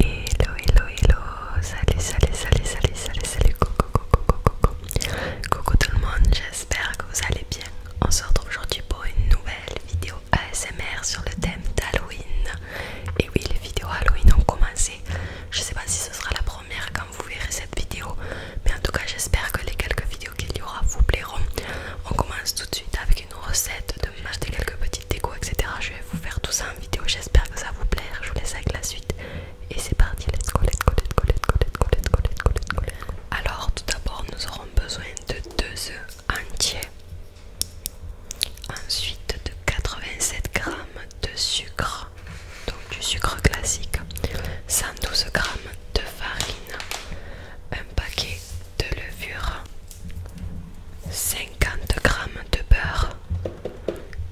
Hello, hello, hello, salut, salut, salut, salut, salut, salut, coucou, coucou, coucou, coucou, tout le monde, j'espère que vous allez bien. On se retrouve aujourd'hui pour une nouvelle vidéo ASMR sur le thème d'Halloween. Et oui, les vidéos Halloween ont commencé. Je sais pas si ce sera la première quand vous verrez cette vidéo, mais en tout cas, j'espère que les quelques vidéos qu'il y aura vous plairont. On commence tout de suite avec une recette de manger quelques petits déco, etc. Je vais vous faire tout ça en vidéo. J'espère que ça vous plaira, Je vous laisse avec la suite. Et c'est parti. Let's go, let's go, let's go, let's go, let's Alors, tout d'abord, nous aurons besoin de 2 oeufs entiers. Ensuite, de 87 g de sucre, donc du sucre classique, 112 g de farine, un paquet de levure, 50 g de beurre,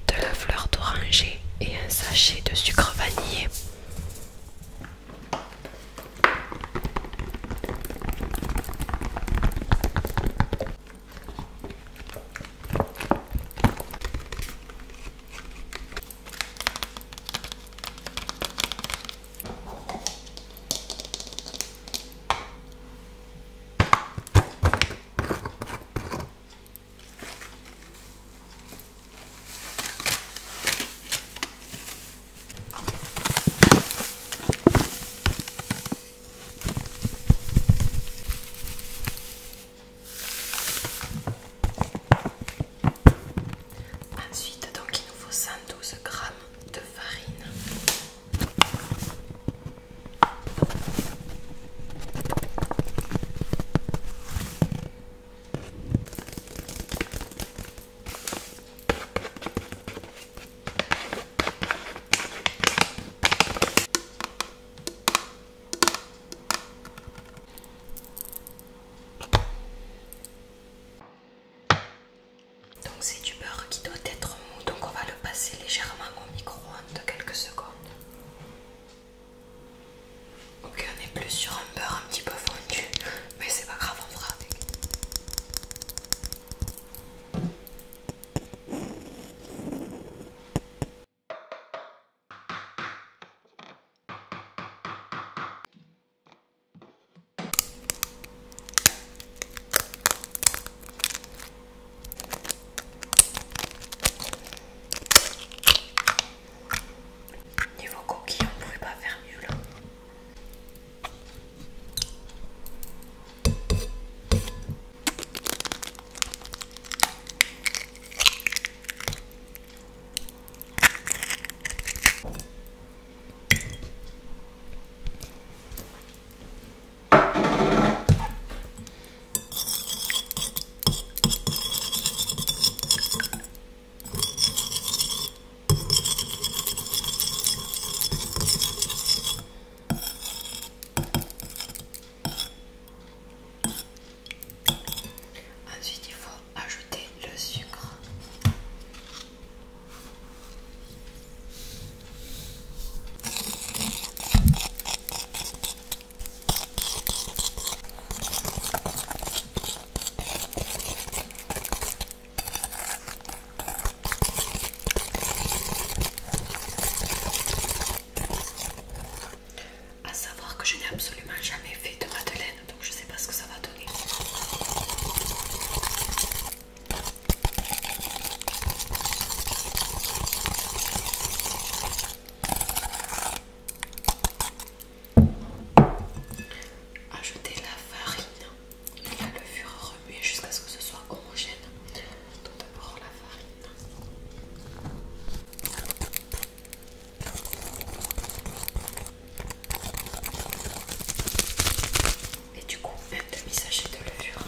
de la fleur d'oranger et un sachet de sucre vanillé. Ensuite, donc il nous faut 112 g de farine. Donc c'est du beurre qui doit être mou, donc on va le passer légèrement au micro de quelques secondes. Ok, on est plus sur un beurre un petit peu fondu, mais c'est pas grave, on fera avec. Niveau coquille, on ne pas faire mieux là. Ensuite, il faut ajouter le sucre. À savoir que je n'ai absolument jamais fait de madeleine, donc je ne sais pas ce que ça va donner. Ajouter la farine et la levure remuer jusqu'à ce que ce soit homogène. Tout d'abord la farine. Et du coup, un demi-sachet de levure.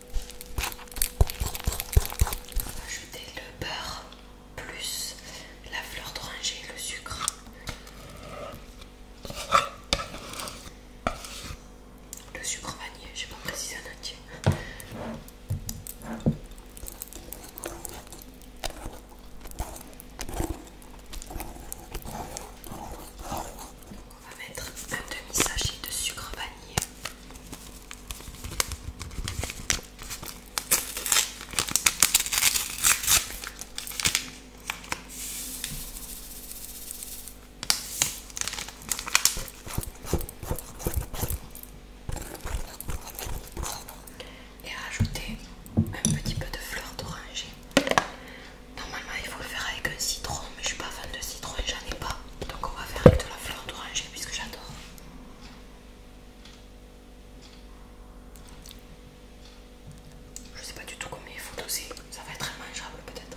Ajouter le beurre plus la fleur d'oranger et le sucre. Le sucre vanillé, j'ai pas précisé un entier. On va mettre un demi-sachet de sucre vanillé. Et rajouter un petit peu de fleur d'oranger. Normalement, il faut le faire avec un citron, mais je suis pas fan de citron, et j'en ai pas. Donc on va faire avec de la fleur d'oranger puisque j'adore. Je sais pas du tout combien il faut aussi. ça va être mangeable peut-être.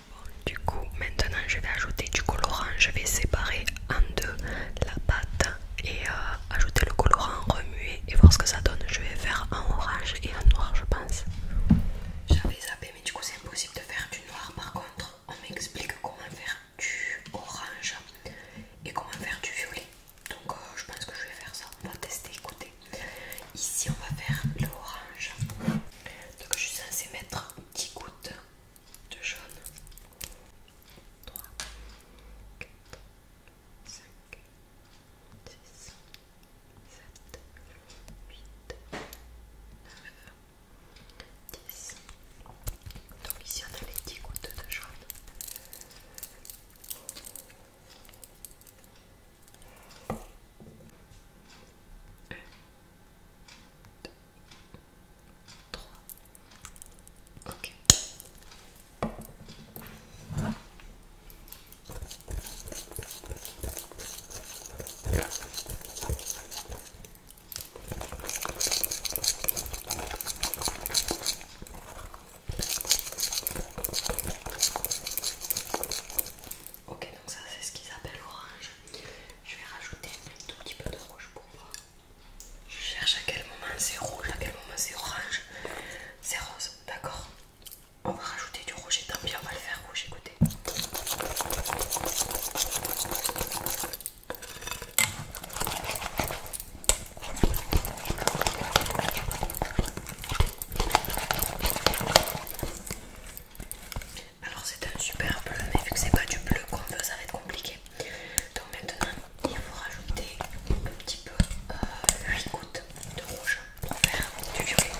Du coup, maintenant je vais ajouter du colorant. Je vais séparer en deux la pâte et euh, ajouter le colorant, remuer et voir ce que ça donne. Je vais faire en orange et en noir, je pense. J'avais zappé, mais du coup, c'est impossible de faire du noir. Par contre, on m'explique comment faire du orange et comment faire du violet. Donc, euh, je pense que je vais faire ça. On va tester, écoutez. Ici, on va faire l'orange. Donc, je suis censée mettre 10 gouttes de jaune. 3, 4, 5, 6, 7, 8, 9, 10. Donc ici on a les 10 gouttes de jaune. Un, Ok. Ok, donc ça c'est ce qu'ils appellent orange. Je vais rajouter un tout petit peu de rouge pour voir. Je cherche à quel moment c'est rouge, à quel moment c'est orange, c'est rose, d'accord On va rajouter du rouge et tant pis, on va le faire rouge, écoutez. Alors c'est un super bleu, mais vu que c'est pas du bleu qu'on veut, ça va être compliqué. Donc maintenant, il faut rajouter un petit peu 8 euh, gouttes de rouge pour faire du violet.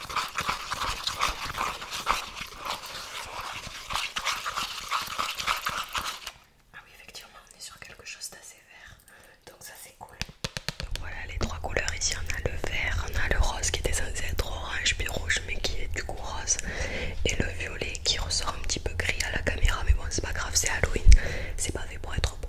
Ah oui, effectivement, on est sur quelque chose d'assez vert. Donc ça c'est cool. Donc voilà les trois couleurs ici, on a le vert, on a le rose qui était censé être orange puis rouge mais qui est du coup rose et le violet qui ressort un petit peu gris à la caméra mais bon c'est pas grave, c'est Halloween, c'est pas fait pour être beau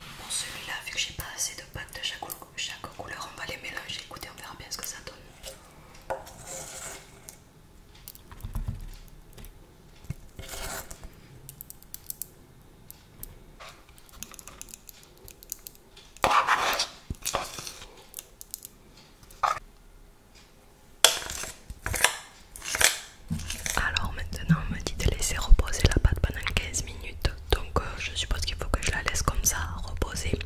Bon, celui-là, vu que j'ai pas assez de pâte de chaque, chaque couleur, on va les mélanger. Écoutez, on verra bien ce que ça donne. Alors maintenant, on me dit de laisser reposer la pâte pendant 15 minutes donc euh, je suppose qu'il faut que je la laisse comme ça reposer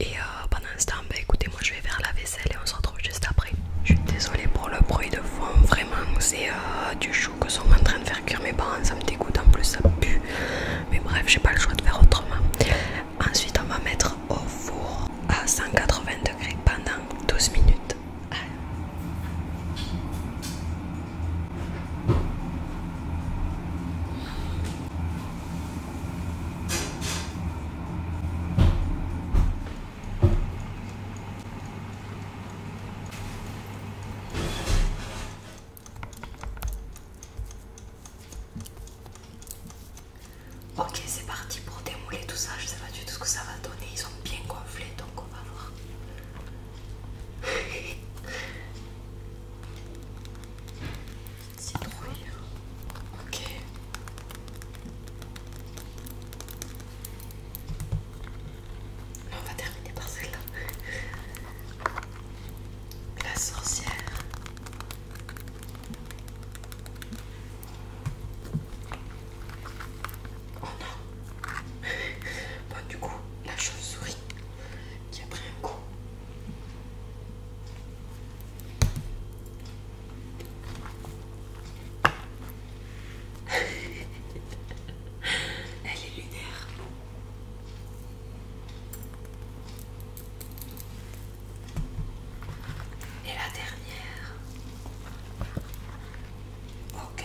et euh, pendant ce temps bah, écoutez moi je vais faire la vaisselle et on se retrouve juste après je suis désolée pour le bruit de fond vraiment c'est euh, du chou que sont en train de faire cuire mes parents ça me dégoûte en plus ça pue mais bref j'ai pas le choix de faire autrement ensuite on va mettre au four à 180 degrés pendant 12 minutes Ok, c'est parti pour démouler tout ça. Je sais pas du tout ce que ça va donner. Ils ont bien gonflé donc on va voir. Citrouille. Ok. on va terminer par celle-là. La sorcière. Oh non Bon du coup, la chauve-souris qui a pris un coup. Elle est lunaire. Et la dernière. Ok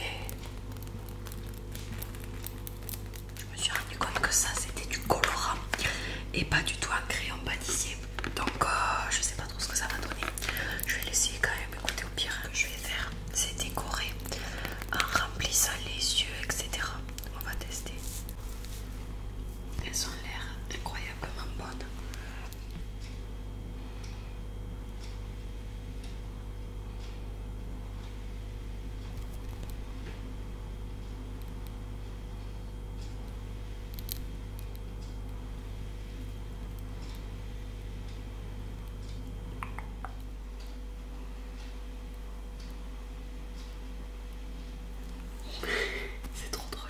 je me suis rendu compte que ça c'était du colorant et pas du tout un crayon pâtissier. Donc euh, je sais pas trop ce que ça va donner. Je vais laisser quand même. écouter au pire, hein, je vais faire, c'est décorer en remplissant les yeux, etc. On va tester. Elles ont l'air incroyablement bonnes. C'est trop drôle.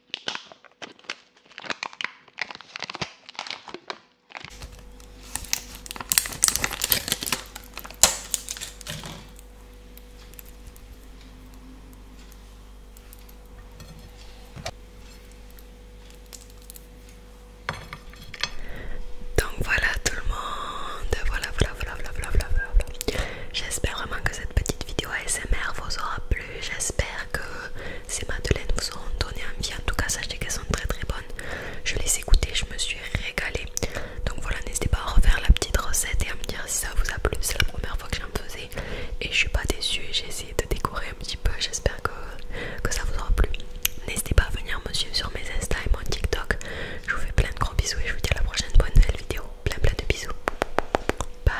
Donc voilà tout le monde, voilà voilà voilà voilà voilà voilà. voilà. J'espère vraiment que cette petite vidéo ASMR vous aura plu. J'espère que ces madeleines vous auront donné envie, en tout cas sachez qu'elles sont très très bonnes. Je les ai goûtées, je me suis régalée. Donc voilà, n'hésitez pas à refaire la petite recette et à me dire si ça vous a plu. C'est la première fois que j'en faisais et je suis pas déçue. J'ai essayé de décorer un petit peu, j'espère que, que ça vous aura plu. N'hésitez pas à venir me suivre sur mes Insta et mon TikTok. Je vous fais plein de gros bisous et je vous dis à la prochaine pour une nouvelle vidéo. Plein plein de bisous. Bye.